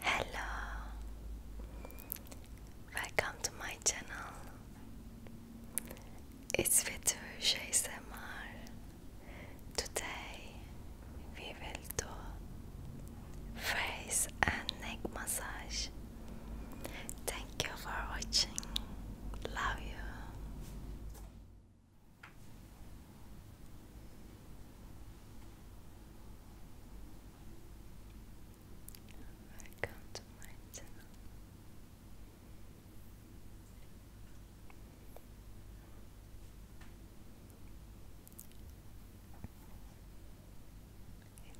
Hello, welcome to my channel. It's Vitush ASMR. Today we will do face and neck massage. Thank you for watching. Love you. Welcome to my channel.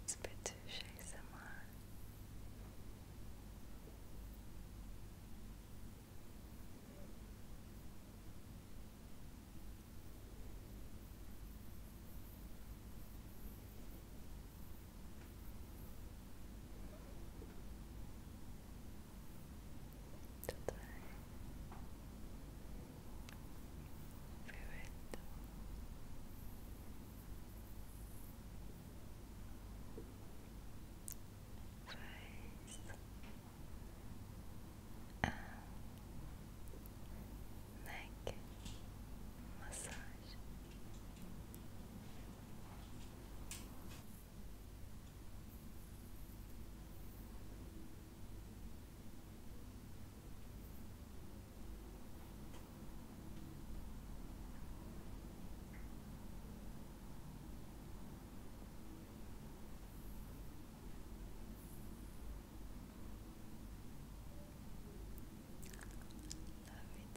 It's Petusha Samar tutaj były face a neck massage. Love it.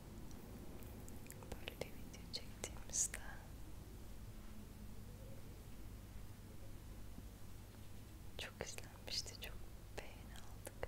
böyle bir video çektiğimizde çok izlenmişti, çok beğeni aldık.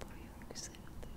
por yükseldi Boyun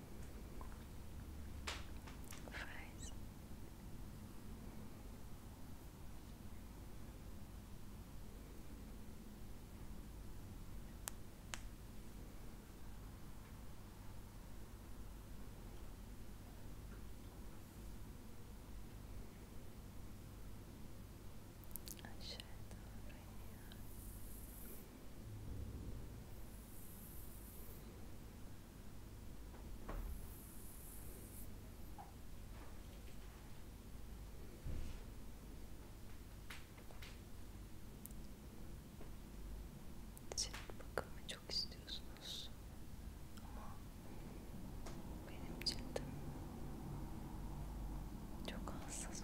fries. I shared them right here. Cilt bakımı çok istiyorsunuz ama benim cildim çok hassas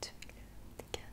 Tüylerim diken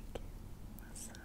Okay, massage.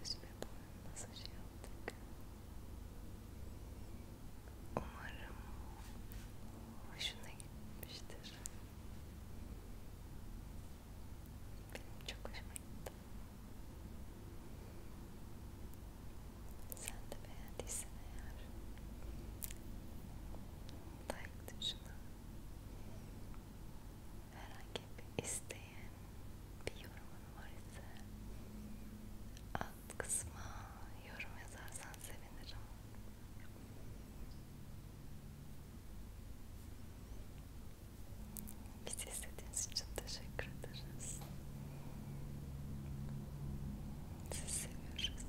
Yüzme boyu masaj yaptık. Umarım hoşuna gitmiştir. Benim çok hoşuma gitti. Sen de beğendiysen eğer like tuşuna herhangi bir isteğin, bir yorumun var ise alt kısma yorum yazarsan sevinirim. Bizi izlediğiniz için teşekkür ederiz. Sizi seviyoruz.